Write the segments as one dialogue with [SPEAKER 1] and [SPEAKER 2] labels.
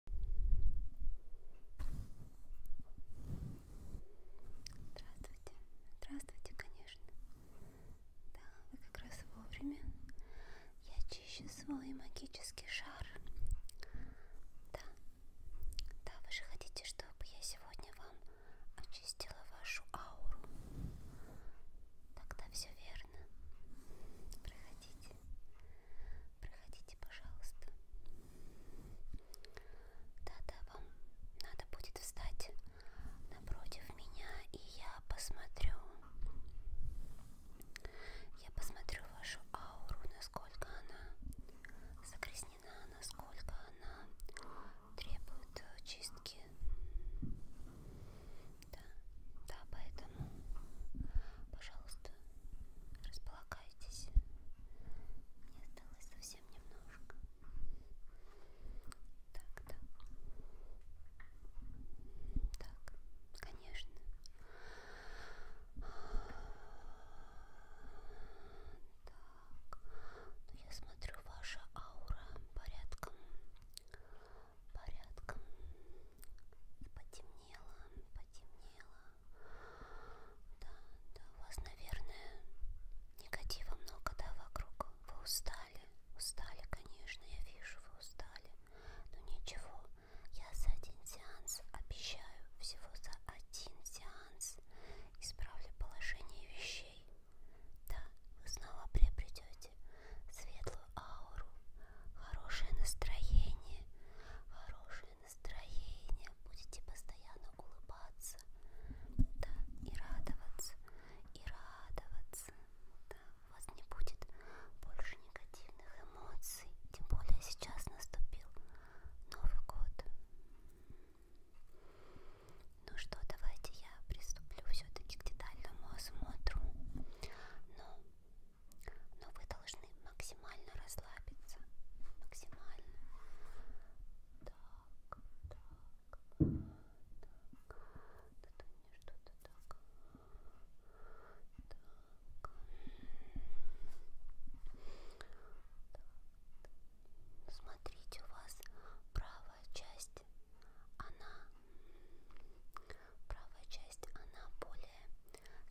[SPEAKER 1] Здравствуйте, здравствуйте, конечно. Да, вы как раз вовремя. Я чищу свой магический шар. Да, да, вы же хотите, чтобы я сегодня вам очистила вашу ауру. Тогда все верно. Проходите. Проходите, пожалуйста. Да-да, вам надо будет встать напротив меня, и я посмотрю. Я посмотрю вашу ауру, насколько она загрязнена, насколько она требует чистки. Да, да, поэтому, пожалуйста, располагайтесь. Мне осталось совсем немножко. Так, так. Так, конечно. Так, ну я смотрю, ваша аура порядком, порядком и потемнело, потемнело. Да, да, у вас, наверное, негатива много, да, вокруг. Вы устали, устали, конечно, я вижу, вы устали. Но ничего, я за один сеанс обещаю, всего за один сеанс исправлю положение вещей. Да, вы снова приобретете светлую ауру, хорошее настроение, хорошее настроение, будете постоянно улыбаться, да, и радоваться, и радоваться, да, у вас не будет больше негативных эмоций, тем более сейчас наступил Новый год. Ну что, давайте я приступлю все-таки к детальному осмотру, но ну, но вы должны максимально расслабиться. Максимально. Так, так, так. Тут у меня что-то так. Так. так. Смотрите, у вас правая часть, она правая часть, она более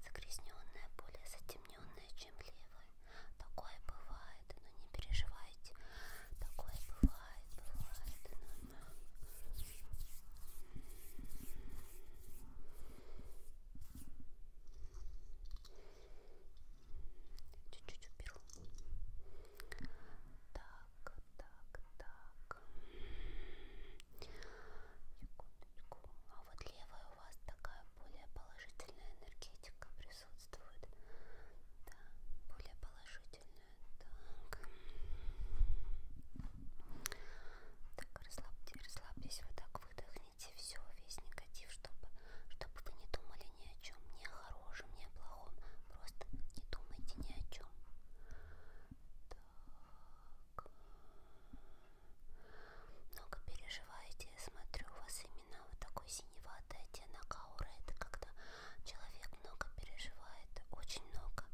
[SPEAKER 1] Загрязненное, более затемненное, чем левое. Такое бывает, но не переживайте. Такое бывает, бывает. Но... Чуть-чуть уберу. Так, так, так. Секундочку. А вот левой у вас такая более положительная энергетика присутствует. Да, более положительная. Так, так расслабьте, расслабьтесь, вот так выдохните все, весь негатив, чтобы, чтобы вы не думали ни о чем, ни о хорошем, ни о плохом. Просто не думайте ни о чем. Так много переживаете, смотрю, у вас именно вот такой синеватый оттенок ауры, это когда человек много переживает, очень много,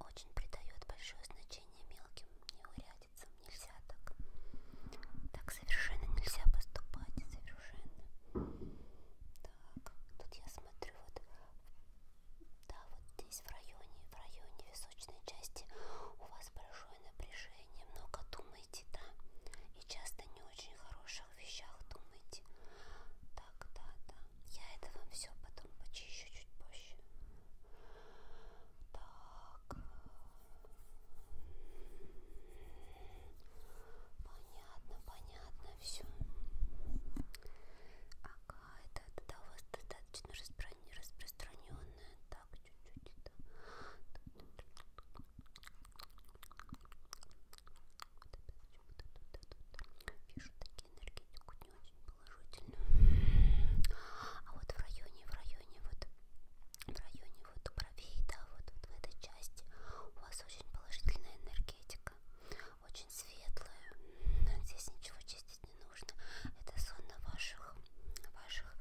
[SPEAKER 1] очень придает большое значение мелким неурядицам, нельзя так, так совершенно нельзя поступать, совершенно, так, тут я смотрю, вот, да, вот здесь в районе, в районе височной части у вас большое напряжение, много думаете, да? И часто не очень хороших вещах думаете. Так, да, да. Я это вам все потом почищу чуть позже. Так. Понятно, понятно все. Ага, это, это да, у вас достаточно распро... распространенная, да так чуть-чуть это вижу такие энергетику не очень положительную а вот в районе в районе вот в районе вот бровей да вот, вот в этой части у вас очень положительная энергетика очень светлая здесь ничего чистить тратить не нужно. Это зона ваших, ваших,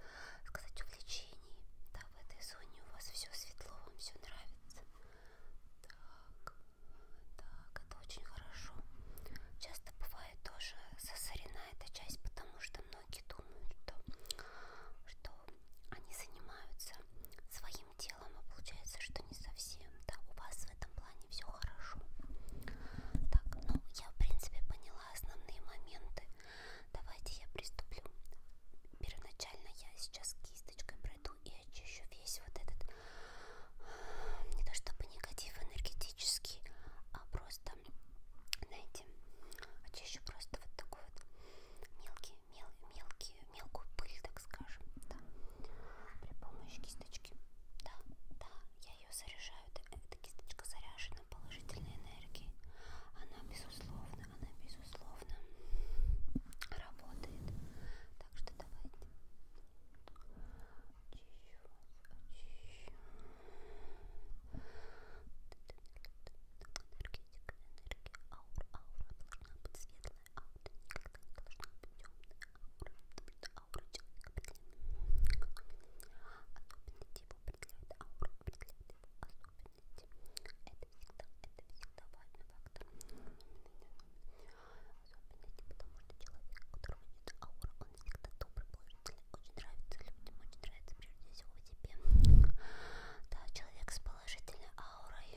[SPEAKER 1] сказать, увлечений. Да, в этой зоне у вас все светло, вам все нравится. Так, так, это очень хорошо. Часто бывает тоже засорена эта часть, потому что многие думают, что, что они занимаются своим делом, а получается, что не совсем. Да, у вас в этом плане все хорошо. Так, ну я в принципе поняла основные моменты. Давайте я приступлю. Первоначально я сейчас кисточкой пройду и очищу весь вот этот, а, не то чтобы негатив энергетический, а просто, знаете, очищу просто вот такой вот мелкий, мел, мелкий, мелкую пыль, так скажем, да, при помощи кисточки. Да, да, я ее заряжаю, эта кисточка заряжена положительной энергией. Она безусловно, она безусловно работает. Так что давайте. Очищу вас, очищу. Энергетика, энергия, аура, аура должна быть светлая, аура никогда не должна быть темная, аура, аура человека, блин. Особенно типа определяет ауру, определяет его особенности. Это всегда, это всегда важный фактор. Особенности, потому что человек, у которого нет ауры, он всегда добрый, положительный, очень нравится людям, очень нравится прежде всего тебе. Да, человек с положительной аурой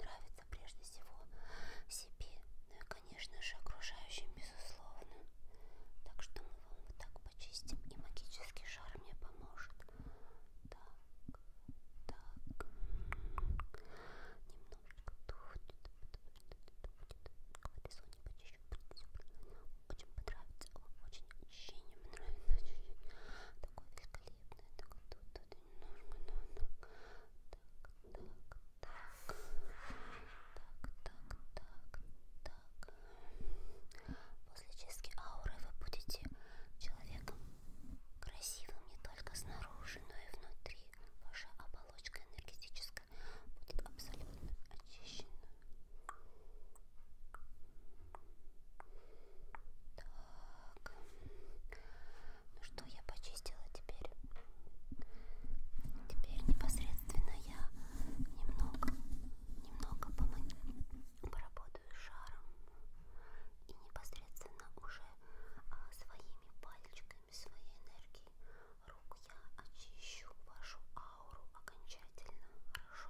[SPEAKER 1] нравится прежде всего себе, ну и, конечно же, окружающим, безусловно. Так что мы вам вот так почистим, и магический шар мне поможет. Так, так. Немножечко тухнет. Колесо не почищу. Очень понравится. Очень ощущение мне нравится. Очень. Такое великолепное. Так, тут, тут немножко надо. Так, так, так. Так, так, так, так. После чистки ауры вы будете человеком красивым не только снаружи, но и внутри. Ваша оболочка энергетическая будет абсолютно очищена. Так, ну что я почистила теперь? Теперь непосредственно я немного немного поработаю шаром и непосредственно уже а, своими пальчиками, своей энергией рук я очищу вашу ауру окончательно, хорошо?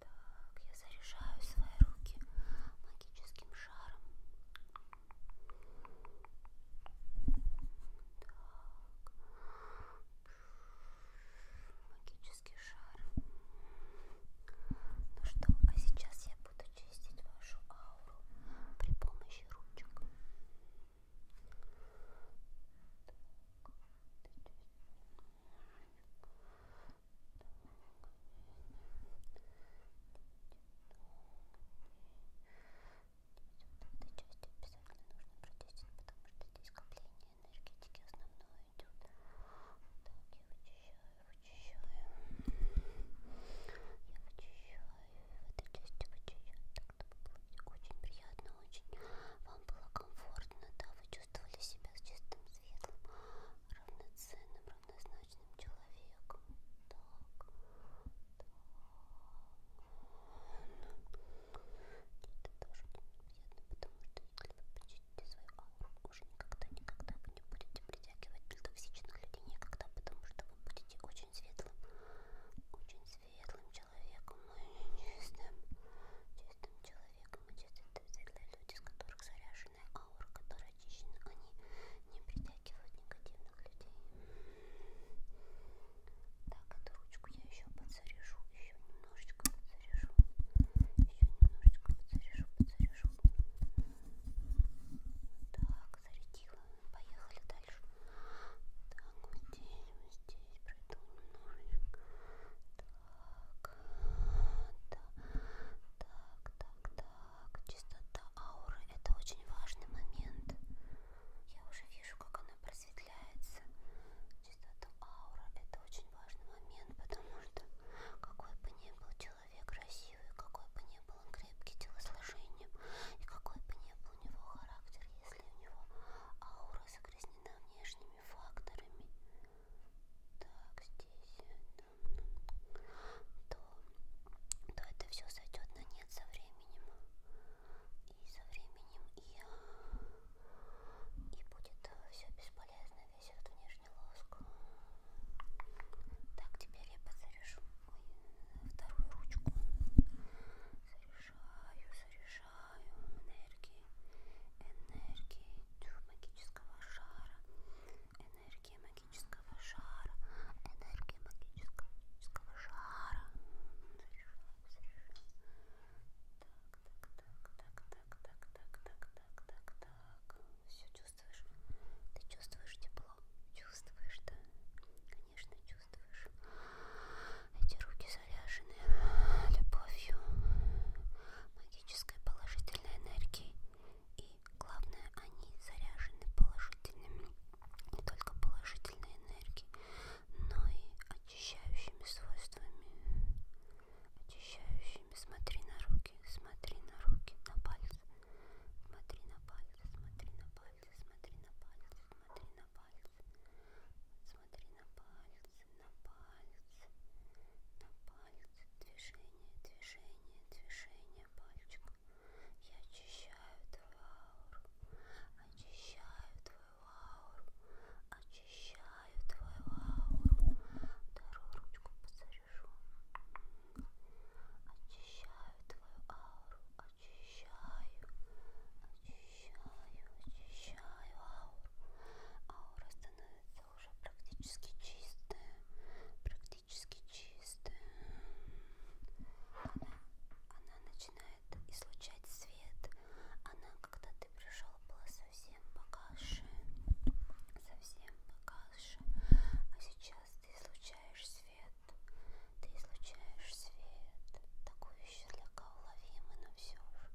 [SPEAKER 1] Так, я заряжаю свои руки магическим шаром. Так. Магический шар. Ну что, а сейчас я буду чистить вашу ауру при помощи ручек. Так. Так части обязательно нужно протестить, потому что здесь скопление энергетики основное идет. Так, я вычищаю, вычищаю. Я вычищаю, в этой части вычищаю, так чтобы было очень приятно, очень вам было комфортно, да, вы чувствовали себя с чистым светом, равноценным, неравнозначным человеком. Так, так. Это тоже неприятно, потому что если вы почистите свою ауру, уже никогда-никогда вы не будете притягивать токсичных людей никогда, потому что вы будете очень светлым, очень светлым человеком, и чистым, чистым человеком, и чистым, это люди, с которых заряжены очищенная аура, которая очищена, они не притягивают негативных людей. Так, эту ручку я еще подзаряжу, еще немножечко подзаряжу, еще немножечко подзаряжу, подзаряжу. Так, зарядила, поехали дальше. Так, вот здесь, вот здесь пройду немножечко. Так, так, так, так. Чистота ауры – это очень важный момент. Я уже вижу, как она просветляется. Чистота ауры – это очень важный момент, потому что какой бы ни был человек красивый, какой бы ни был он крепкий телосложением, и какой бы ни был у него характер, если у него аура загрязнена внешними факторами. Так, здесь, да, то, то это все сойдет на нет со временем. И со временем и, и будет э, все бесполезно, весь этот внешний лоск. Так, теперь я подзаряжу Ой, э, вторую ручку. Заряжаю, заряжаю энергии, энергии магического шара, Энергия магического шара. Энергия магического, магического шара. Так, так, так, так, так, так, так, так, так, так. Все чувствуешь? Ты чувствуешь тепло? Чувствуешь, да? Конечно, чувствуешь. Эти руки заряжены любовью, магической положительной энергией и главное, они заряжены положительными, не только положительной энергией, но и очищающими свойствами. Очищающими. Смотри на руки, смотри на руки, на пальцы. Смотри на пальцы, смотри на пальцы, смотри на пальцы, смотри на пальцы. Смотри на пальцы, на пальцы на палец. Движение, движение, движение пальчиков. Я очищаю твою ауру. Очищаю твою ауру. Очищаю твою ауру. Вторую ручку посорежу. Очищаю твою ауру. Очищаю. Очищаю. Очищаю ауру. Аура становится уже практически чистая, практически чистая. Она, она начинает излучать свет. Она, когда ты пришел, была совсем погаши, совсем погаши. А сейчас ты излучаешь свет, ты излучаешь свет. Такой еще для уловимый, но все же.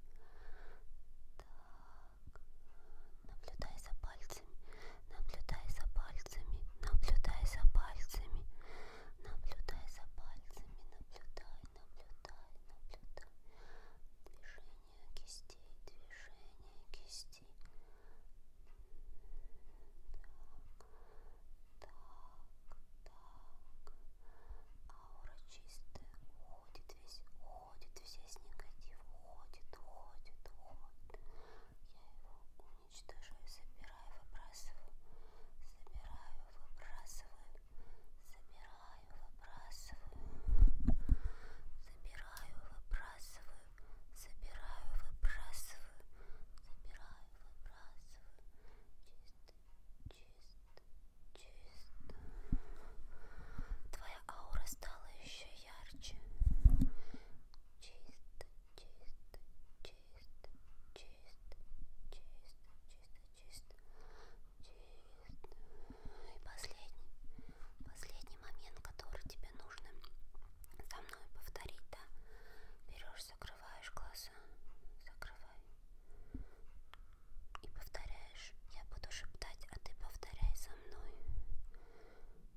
[SPEAKER 1] Так, наблюдай за пальцами, наблюдай за пальцами, наблюдай за пальцами, наблюдай за пальцами, наблюдай, наблюдай, наблюдай. Движение кистей, движение кистей. Так, так, так. Аура чистая, уходит весь уходит, весь негатив уходит, уходит, уходит. Я его уничтожаю, забираю, выбрасываю, забираю, выбрасываю, забираю, выбрасываю, забираю, выбрасываю, забираю, выбрасываю, забираю, выбрасываю, чисто, чисто, чисто. Твоя аура стала еще поярче. Чисто, чисто, чисто, чисто, чисто, чисто, чисто, чисто. И последний, последний момент, который тебе нужно со мной повторить, да? Берешь, закрываешь глаза, закрывай. И повторяешь, я буду шептать, а ты повторяй за мной. Закрывай,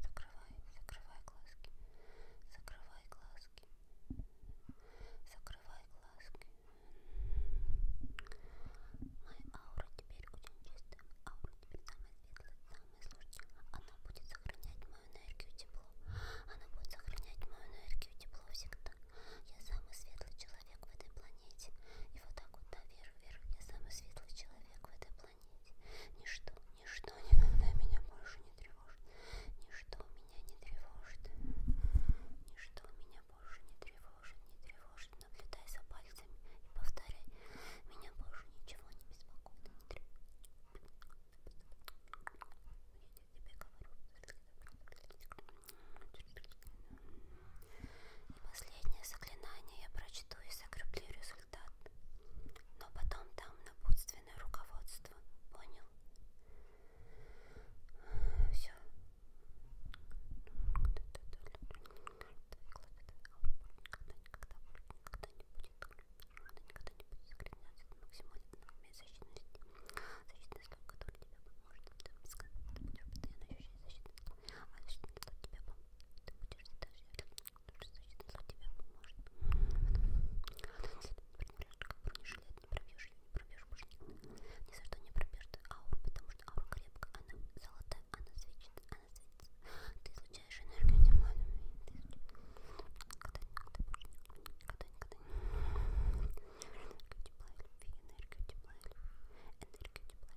[SPEAKER 1] закрывай глазки. Закрывай глазки. Закрывай глазки. Моя аура теперь очень чистая. Аура теперь самая светлая, самая сложная. Она будет сохранять мою энергию тепло. Она будет сохранять мою энергию тепло всегда. Я самый светлый человек в этой планете планете. И вот так вот наверх, вверх, я самый светлый человек в этой планете. Ничто, ничто никогда меня больше не тревожит. Ничто меня не тревожит. Ничто меня больше не тревожит, не тревожит. Наблюдай за пальцами и повторяй. Меня больше ничего не беспокоит, не тревожит. Я тебе говорю. И последнее заклинание я прочту и закреплю результат. Но потом дам напутственное руководство. Понял? Все. Защитный слой, который тебя поможет, ты будешь постоянно ощущать защитный слой, а защитный слой тебе поможет ты будешь задождь, значит, за тебя поможет. Как бронежилет, не пробьешь ее, не пробьешь больше Ни за что не пробьешь ты ауру, потому что аура крепкая, она золотая, она светит, она светится. Ты излучаешь энергию демонами. Ты никогда, никогда больше никогда, никогда не энергию тепла и любви, энергию тепла и любви, энергию тепла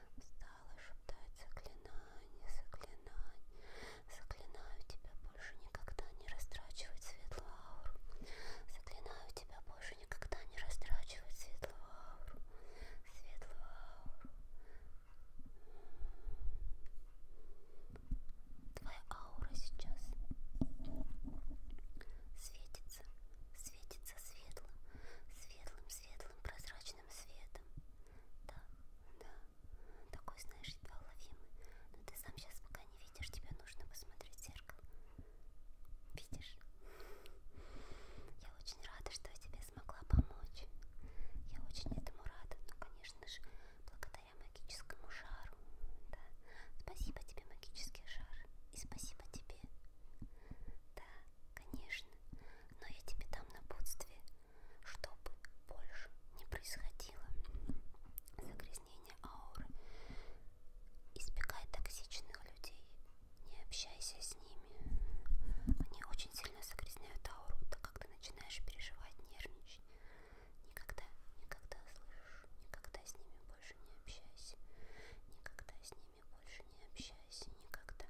[SPEAKER 1] стала шептать заклинание, заклинание. Заклинаю тебя больше никогда не растрачивать светлую ауру. Заклинаю тебя больше никогда не растрачивать светлую ауру. Светлую ауру. Твоя аура сейчас светит светится, светится светлым, светлым, светлым, прозрачным светом. Да, да, такой, знаешь, едва уловимый. Но ты сам сейчас пока не видишь, тебе нужно посмотреть в зеркало. Видишь? Я очень рада, что я тебе смогла помочь. Я очень этому рада, но, ну, конечно же, благодаря магическому шару. Да. Спасибо тебе, магический шар. И спасибо тебе. Да, конечно но я тебе дам напутствие, чтобы больше не происходило загрязнение ауры. Избегай токсичных людей, не общайся с ними. Они очень сильно загрязняют ауру, так как ты начинаешь переживать, нервничать. Никогда, никогда слышишь, никогда с ними больше не общайся, никогда с ними ними больше не общайся никогда,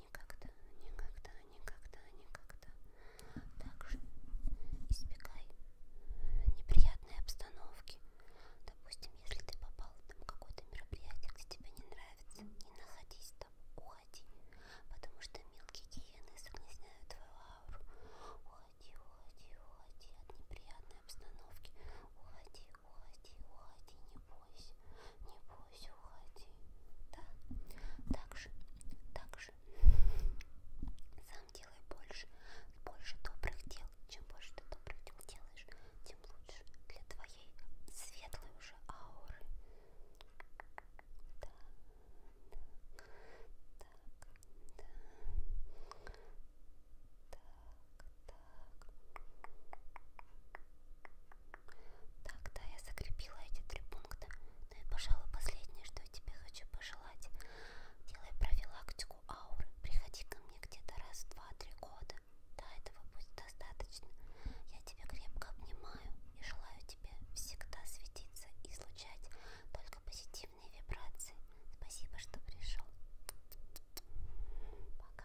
[SPEAKER 1] никогда, никогда, никогда, никогда. Также избегай неприятной обстановки. Допустим, если ты попал в какое-то мероприятие, где тебе не нравится, не находись там, уходи. Потому что мелкие гиены загрязняют твою ауру. Уходи, уходи, уходи от неприятной обстановки. Уходи, уходи, уходи, не бойся, не бойся, уходи. Да, так же, так же. Сам делай больше, больше добрых дел. Чем больше ты добрых дел делаешь, тем лучше для твоей светлой уже ауры. Да, да, так, да, так. Так, да, я закрепила эти три пункта. Ну и, пожалуй, последнее, что я тебе хочу пожелать. Делай профилактику ауры. Приходи ко мне где-то раз в 2-3 года. Да, этого будет достаточно. Я тебя крепко обнимаю и желаю тебе всегда светиться и излучать только позитивные вибрации. Спасибо, что пришел. Пока.